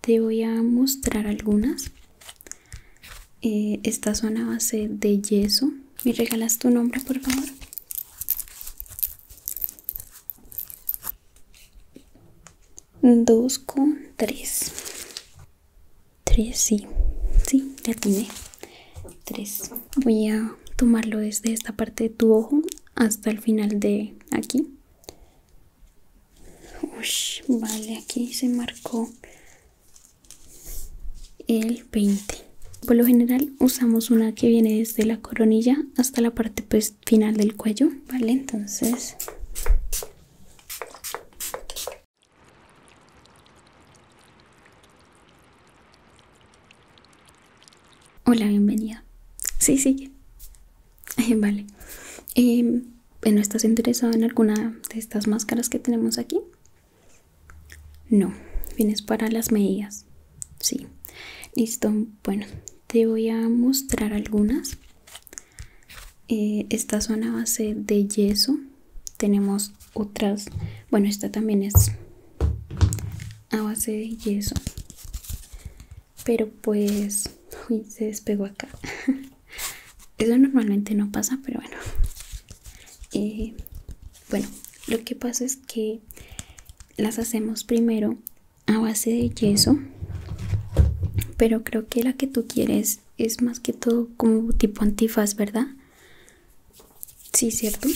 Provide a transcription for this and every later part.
Te voy a mostrar algunas. Eh, esta zona son a base de yeso. ¿Me regalas tu nombre, por favor? 2 con 3 Tres, sí. Sí, ya tiene 3 Voy a tomarlo desde esta parte de tu ojo hasta el final de aquí. Ush, vale, aquí se marcó el 20. Por lo general usamos una que viene desde la coronilla hasta la parte pues, final del cuello, ¿vale? Entonces... Hola, bienvenida. Sí, Sí. vale. Em, ¿No ¿estás interesado en alguna de estas máscaras que tenemos aquí? No, vienes para las medidas. Sí, listo. Bueno, te voy a mostrar algunas. Eh, estas son a base de yeso. Tenemos otras. Bueno, esta también es a base de yeso. Pero pues, uy, se despegó acá. Eso normalmente no pasa, pero bueno. Eh, bueno, lo que pasa es que las hacemos primero a base de yeso, pero creo que la que tú quieres es más que todo como tipo antifaz, ¿verdad? Sí, ¿cierto?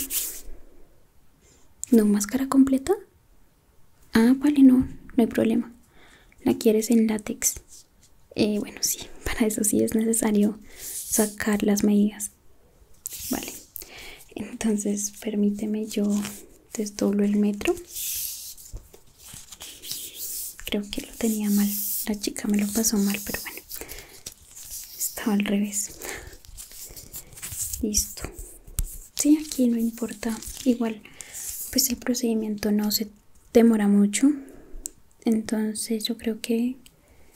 ¿No máscara completa? Ah, vale, no, no hay problema la quieres en látex eh, bueno sí para eso sí es necesario sacar las medidas vale entonces permíteme yo desdoblo el metro creo que lo tenía mal la chica me lo pasó mal pero bueno estaba al revés listo sí aquí no importa igual pues el procedimiento no se demora mucho entonces yo creo que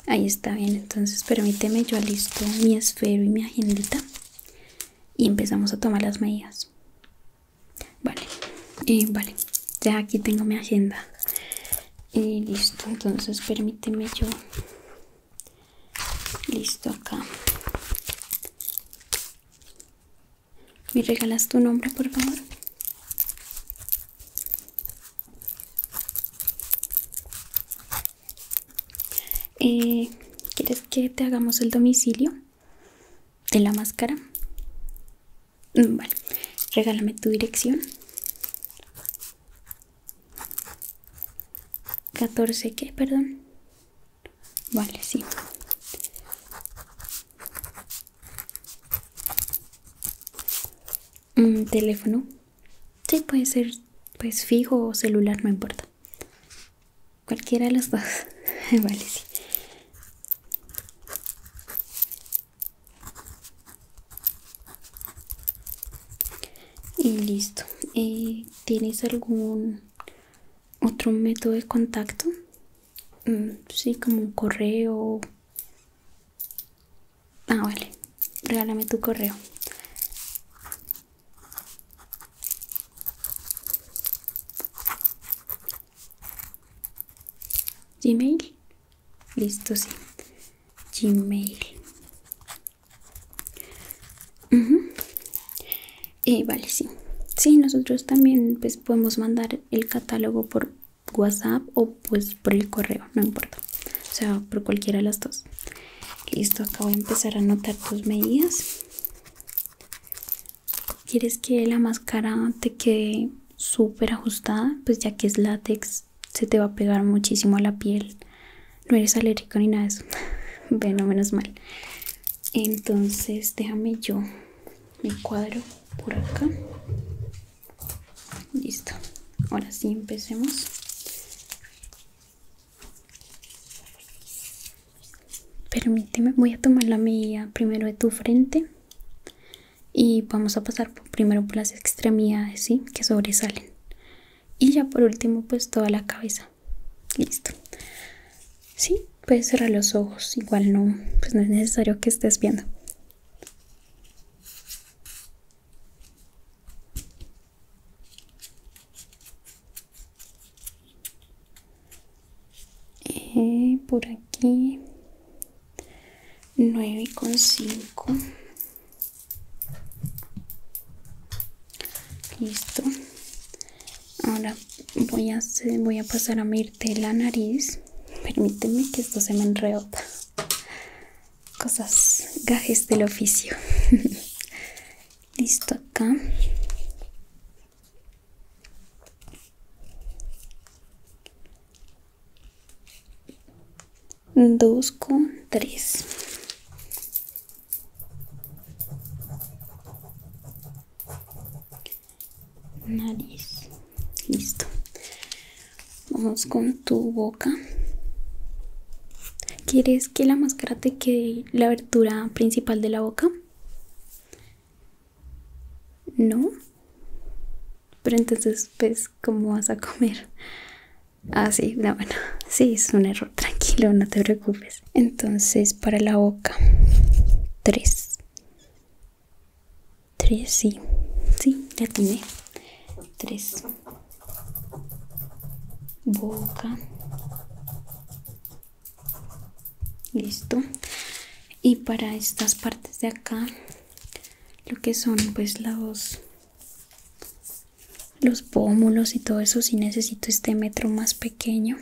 ahí está bien entonces permíteme yo listo mi esfero y mi agendita y empezamos a tomar las medidas vale eh, vale ya aquí tengo mi agenda y eh, listo entonces permíteme yo listo acá ¿Me regalas tu nombre, por favor? Eh, ¿Quieres que te hagamos el domicilio de la máscara? Mm, vale, regálame tu dirección. 14, que, Perdón. Vale, sí. ¿Un mm, teléfono? si puede ser pues fijo o celular, no importa. Cualquiera de los dos. vale, sí. Y listo. Eh, ¿Tienes algún otro método de contacto? Mm, sí, como un correo. Ah, vale. Regálame tu correo. Gmail. Listo, sí. Gmail. y eh, vale, sí. Sí, nosotros también pues podemos mandar el catálogo por WhatsApp o pues por el correo, no importa. O sea, por cualquiera de las dos. Listo, esto de empezar a anotar tus medidas. ¿Quieres que la máscara te quede súper ajustada? Pues ya que es látex, se te va a pegar muchísimo a la piel. No eres alérgico ni nada de eso. bueno, menos mal entonces déjame yo mi cuadro por acá listo ahora sí empecemos permíteme voy a tomar la medida primero de tu frente y vamos a pasar primero por las extremidades ¿sí? que sobresalen y ya por último pues toda la cabeza listo Sí, puedes cerrar los ojos, igual no, pues no es necesario que estés viendo. Eh, por aquí 9,5 listo ahora voy a, voy a pasar a mirte la nariz. Permíteme que esto se me enreota. Cosas, gajes del oficio. Listo acá. Dos con tres nariz listo vamos con tu boca quieres que la máscara te quede la abertura principal de la boca no pero entonces ves pues, cómo vas a comer ah sí bueno sí es un error tranquilo no te preocupes entonces para la boca 3 Tres, sí. Sí, ya tiene. Tres. Boca. Listo. Y para estas partes de acá, lo que son pues los, los pómulos y todo eso, si sí necesito este metro más pequeño.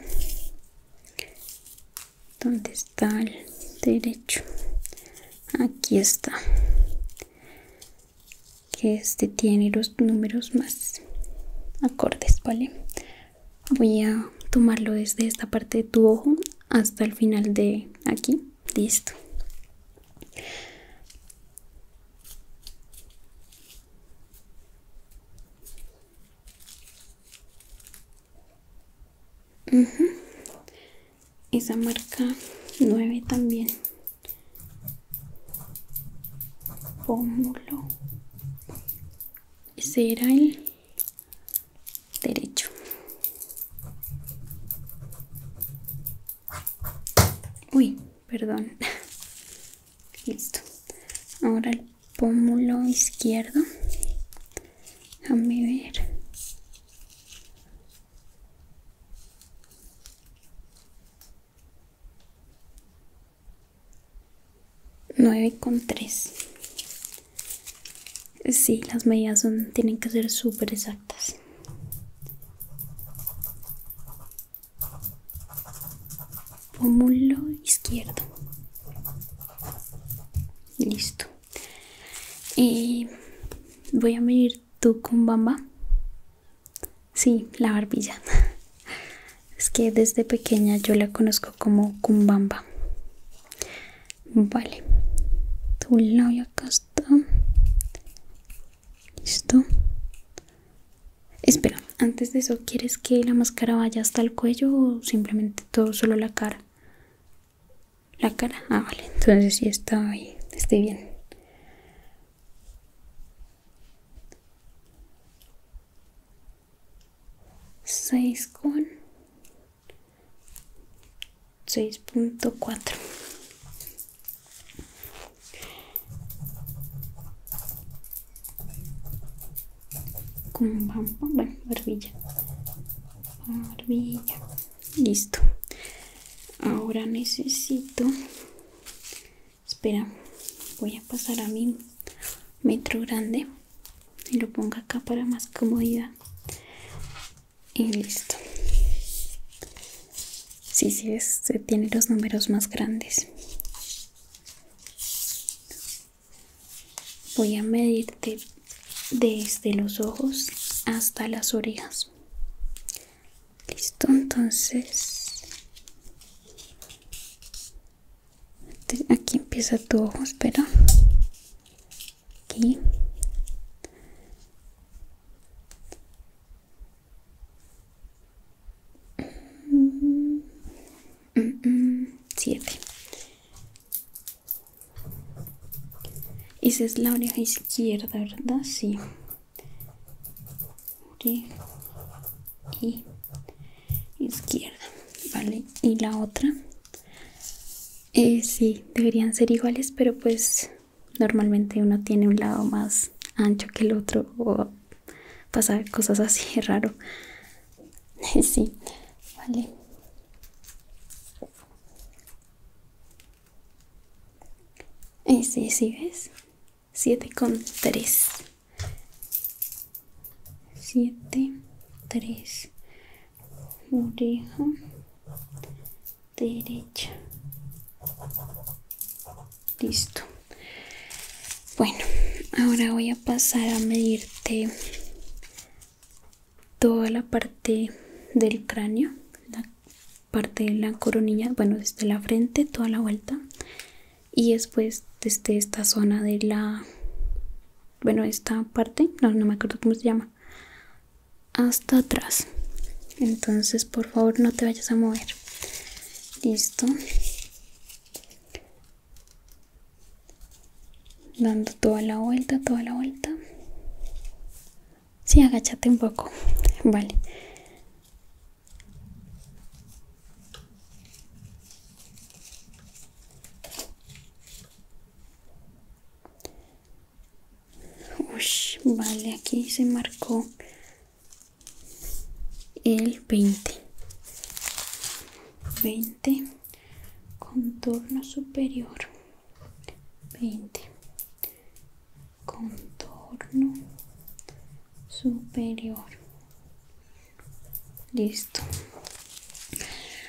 ¿Dónde está el derecho? Aquí está. Que este tiene los números más acordes, ¿vale? Voy a tomarlo desde esta parte de tu ojo hasta el final de aquí. Listo esa marca 9 también pómulo ese era el derecho uy perdón listo ahora el pómulo izquierdo a ver. Nueve con tres. Sí, las medidas son, tienen que ser super exactas. Pómulo izquierdo. Listo. Y voy a medir tu cumbamba. Sí, la barbilla. Es que desde pequeña yo la conozco como cumbamba. Vale. Tu labio acá está. Listo. Espera, antes de eso, ¿quieres que la máscara vaya hasta el cuello o simplemente todo solo la cara? La cara, ah, vale, entonces sí está ahí, estoy bien. Seis con seis punto cuatro. Con barbilla listo ahora necesito espera voy a pasar a mi metro grande y lo pongo acá para más comodidad y listo si sí, sí, este tiene los números más grandes Voy a medirte desde los ojos hasta las orejas. Listo, entonces este, aquí empieza tu ojo, espera. Aquí. Mm, mm, mm, esa es la oreja izquierda, ¿verdad? Sí. y izquierda, ¿vale? Y la otra. Eh, sí, deberían ser iguales, pero pues normalmente uno tiene un lado más ancho que el otro o pasa cosas así raro. sí, vale y ¿sí ves? 7 con 3. 7, 3. Oreja derecha. Listo. Bueno, ahora voy a pasar a medirte toda la parte del cráneo, la parte de la coronilla, bueno, desde la frente, toda la vuelta y después desde esta zona de la, bueno, esta parte, no, no me acuerdo cómo se llama, hasta atrás. Entonces, por favor, no te vayas a mover. Listo dando toda la vuelta, toda la vuelta. Si, agachate un poco, vale. vale, aquí se marcó el 20. 20, contorno superior. 20 contorno superior listo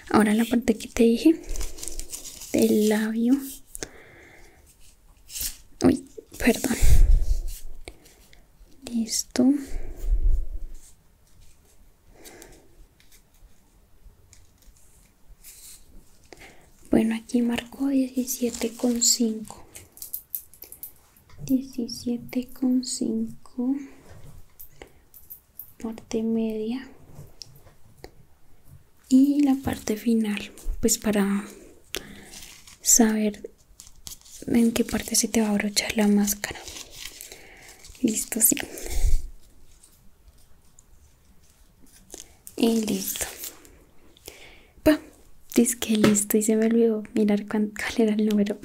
ahora la parte que te dije del labio uy perdón listo bueno, aquí marcó con con 17,5 parte media y la parte final pues para saber en qué parte se te va a abrochar la máscara listo sí y listo. pa dice que listo y se me olvidó mirar cuán, cuál era el número.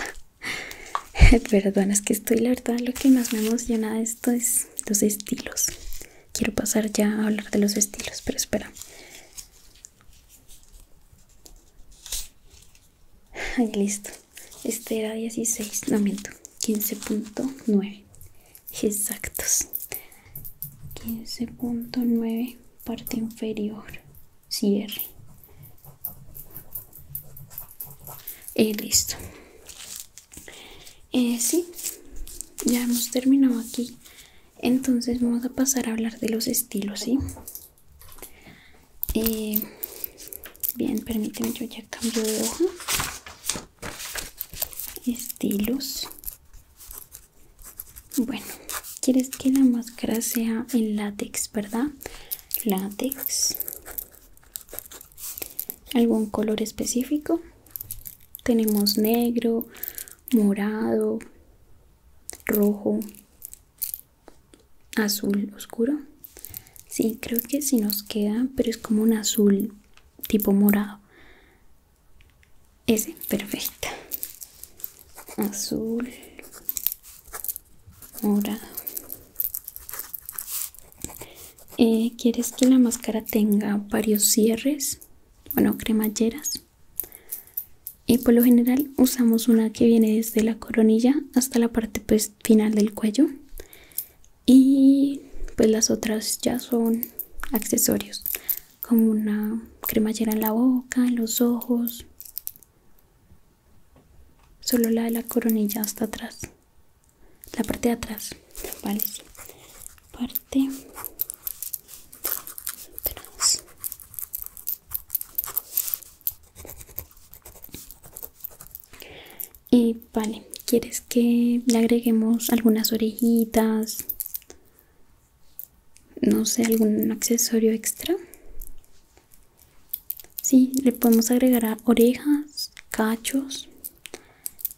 Perdón, es que estoy, la verdad, lo que más me emociona de esto es los estilos. Quiero pasar ya a hablar de los estilos, pero espera. listo. Este era 16, no miento, 15.9 exactos 15.9 parte inferior cierre y eh, listo eh, sí ya hemos terminado aquí entonces vamos a pasar a hablar de los estilos sí eh, bien permíteme yo ya cambio de hoja estilos bueno quieres que la máscara sea en látex verdad látex algún color específico tenemos negro morado rojo azul oscuro sí creo que sí nos queda pero es como un azul tipo morado. Ese, perfecta Azul, morado. Eh, ¿Quieres que la máscara tenga varios cierres? Bueno, cremalleras. Y por lo general usamos una que viene desde la coronilla hasta la parte pues, final del cuello y pues las otras ya son accesorios como una cremallera en la boca, en los ojos solo la de la coronilla hasta atrás la parte de atrás vale parte atrás y vale quieres que le agreguemos algunas orejitas no sé algún accesorio extra Sí, le podemos agregar orejas, cachos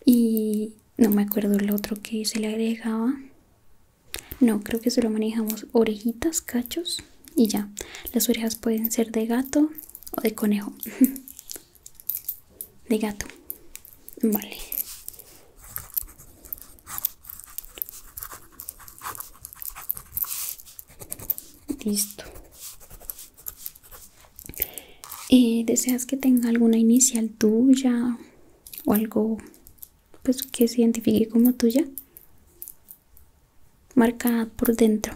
y no me acuerdo el otro que se le agregaba. No, creo que solo manejamos orejitas, cachos y ya. Las orejas pueden ser de gato o de conejo. de gato vale listo eh, deseas que tenga alguna inicial tuya o algo pues que se identifique como tuya marcada por dentro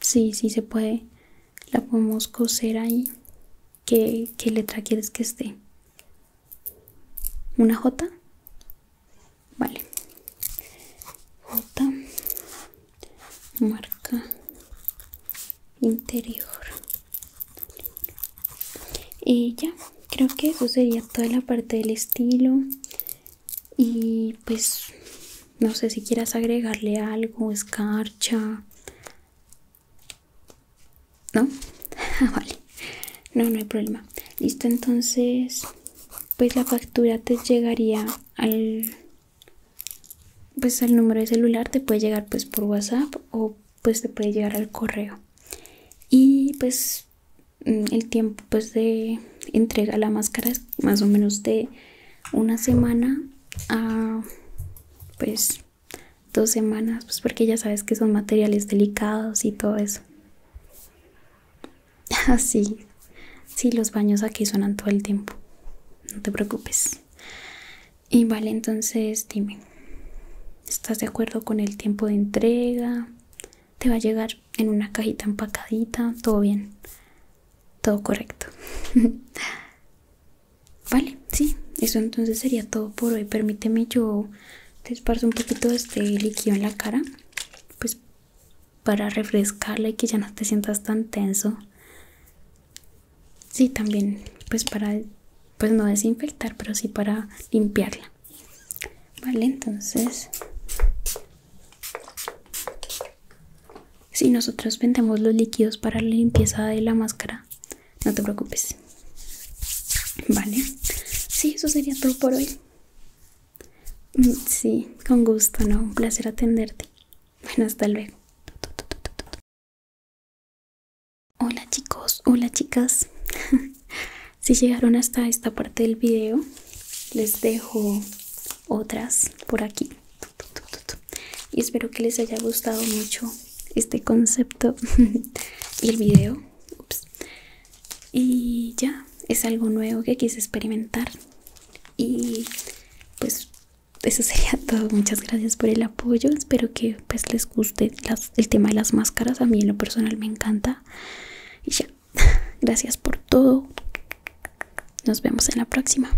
sí sí se puede la podemos coser ahí ¿Qué, letra quieres que esté? ¿Una J? Vale. J. Marca interior. Y ya, creo que eso sería toda la parte del estilo. Y pues, no sé si quieras agregarle algo, escarcha ¿No? Ah, vale. No, no hay problema. Listo, entonces, pues la factura te llegaría al pues al número de celular te puede llegar pues por WhatsApp o pues te puede llegar al correo. Y pues mm, el tiempo pues de entrega la máscara es más o menos de una semana a pues dos semanas, pues porque ya sabes que son materiales delicados y todo eso. Así, sí, los baños aquí suenan todo el tiempo, no te preocupes. Y vale, entonces dime, ¿estás de acuerdo con el tiempo de entrega? Te va a llegar en una cajita empacadita, todo bien, todo correcto. Vale, sí, eso entonces sería todo por hoy. Permíteme, yo te esparzo un poquito de este líquido en la cara, pues para refrescarla y que ya no te sientas tan tenso. Sí, también, pues para, pues no desinfectar, pero sí para limpiarla. Vale, entonces... Si nosotros vendemos los líquidos para la limpieza de la máscara, no te preocupes. Vale, sí, eso sería todo por hoy. Mm, sí, con gusto, no, un placer atenderte. Bueno, hasta luego. Hola chicos, hola chicas. si llegaron hasta esta parte del video, les dejo otras por aquí y espero que les haya gustado mucho este concepto y el video. Y ya, es algo nuevo que quise experimentar. Y pues eso sería todo. Muchas gracias por el apoyo. Espero que pues les guste el tema de las máscaras. A mí en lo personal me encanta. Y ya, gracias por todo. Nos vemos en la próxima.